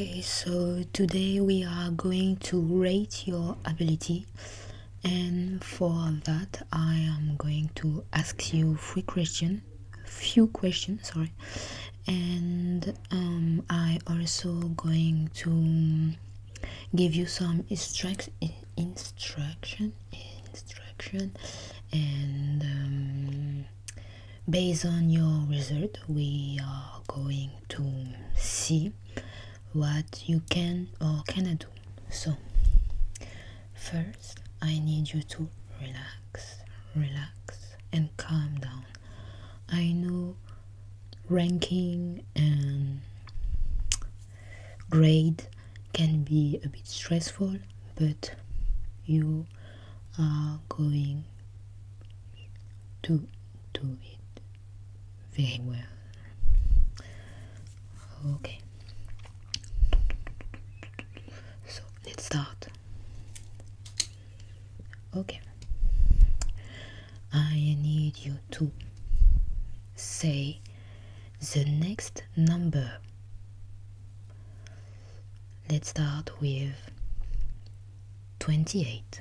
Okay, so today we are going to rate your ability and for that I am going to ask you few questions few questions sorry and um, I also going to give you some instruct instruction instruction and um, based on your result we are going to see what you can or cannot do. So, first, I need you to relax, relax, and calm down. I know ranking and grade can be a bit stressful, but you are going to do it very well. Okay. So let's start. Okay. I need you to say the next number. Let's start with 28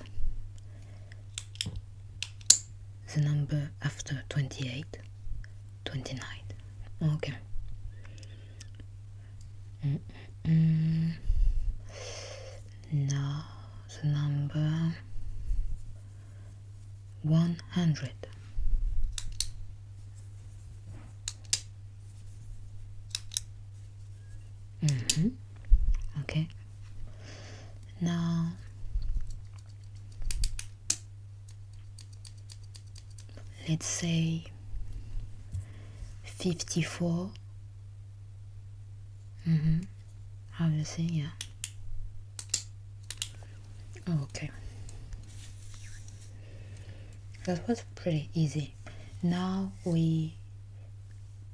the number after 28 29 okay mm -mm. now the number 100 Mm -hmm. Okay. Now let's say 54 mm-hmm obviously yeah oh, okay that was pretty easy now we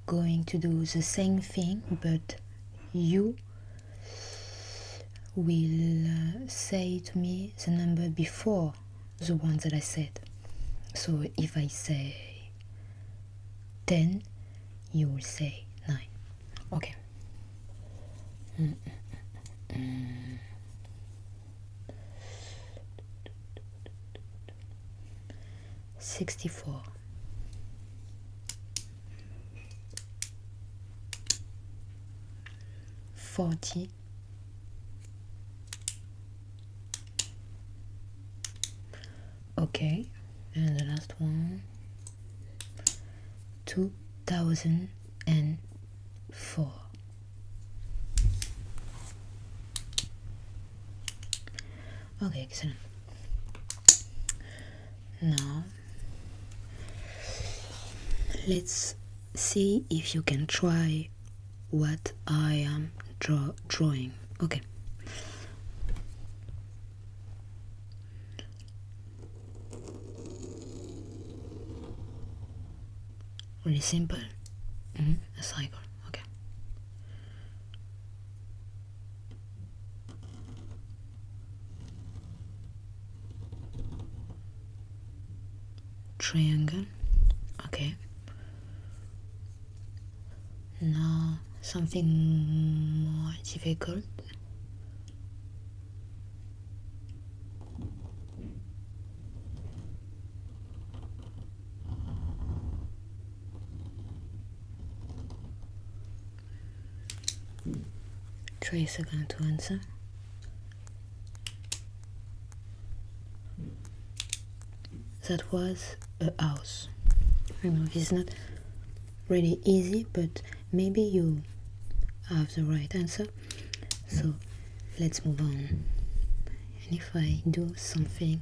going to do the same thing but you will uh, say to me the number before the one that I said. So if I say 10, you will say 9. Okay. 64 40 okay and the last one 2004 okay excellent now, let's see if you can try what I am draw drawing. Okay. Really simple. -hmm. A cycle. Okay triangle okay now something more difficult Trace are to answer. That was a house. I know it's not really easy, but maybe you have the right answer. So let's move on. And if I do something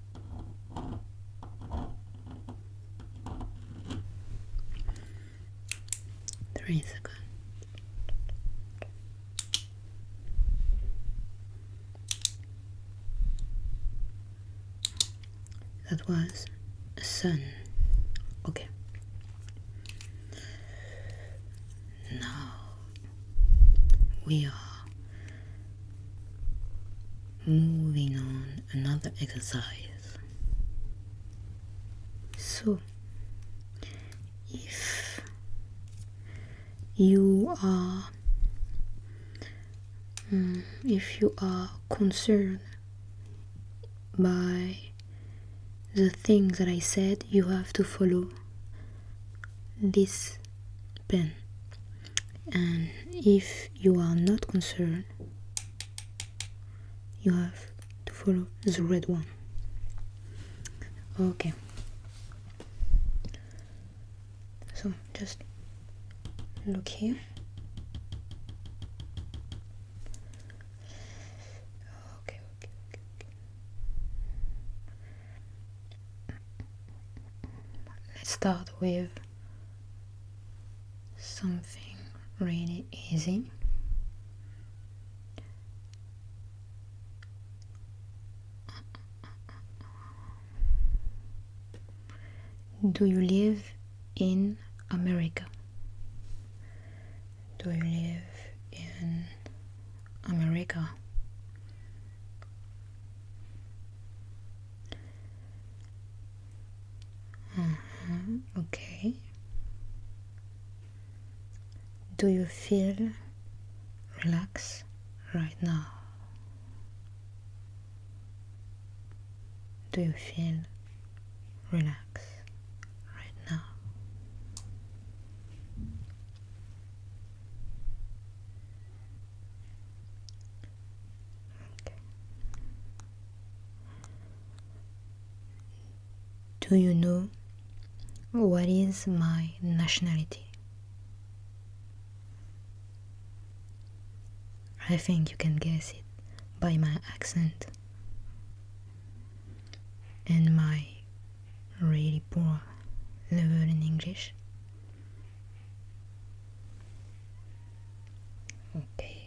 Three seconds. That was a sun. Okay. Now we are Moving on, another exercise. So, if you are mm, if you are concerned by the things that I said, you have to follow this pen and if you are not concerned you have to follow the red one okay so just look here okay okay okay, okay. Let's start with something really easy. Do you live in America? Do you live in America? Uh mm-hmm. -huh. Okay. Do you feel relaxed right now? Do you feel relaxed right now? Do you know what is my nationality? I think you can guess it by my accent and my really poor level in English. Okay.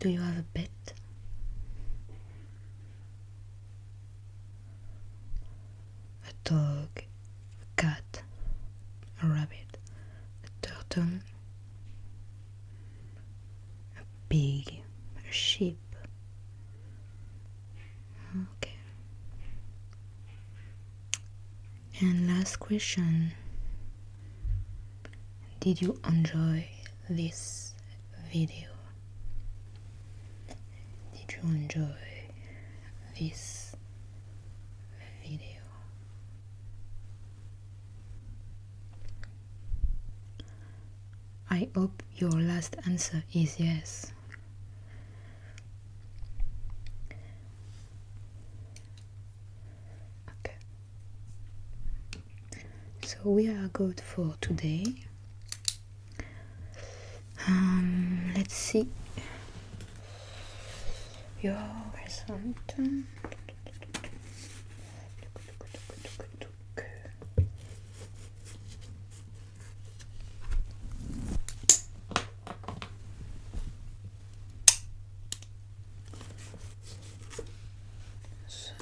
Do you have a pet? A dog, a cat, a rabbit, a turtle, a pig, a sheep. Okay. And last question Did you enjoy this video? Did you enjoy this video? I hope your last answer is yes. Okay. So we are good for today. Um, let's see your result look. So,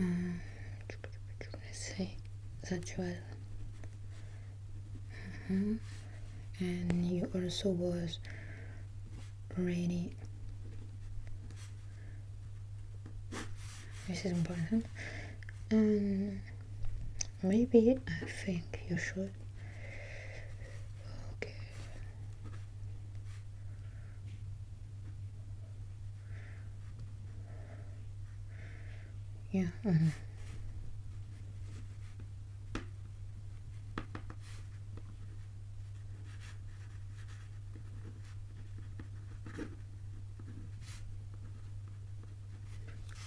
um, let's see, that you are, uh -huh. and you also was rainy. This is important. Um, maybe I think you should. Okay. Yeah. Uh-huh.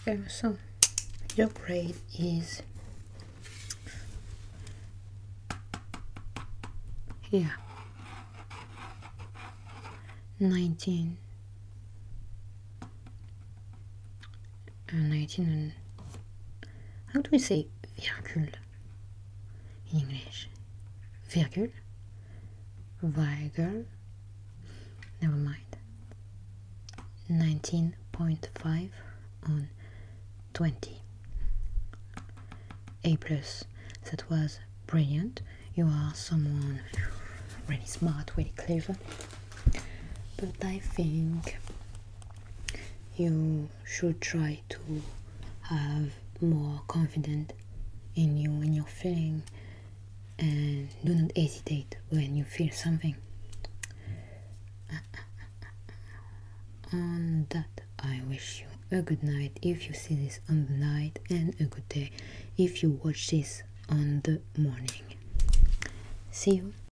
Okay, so your grade is yeah 19 19 how do we say virgule English? Virgule? Virgule? Never mind. 19.5 on 20. A plus. That was brilliant. You are someone really smart, really clever. But I think you should try to have more confidence in you and your feeling and do not hesitate when you feel something on that i wish you a good night if you see this on the night and a good day if you watch this on the morning see you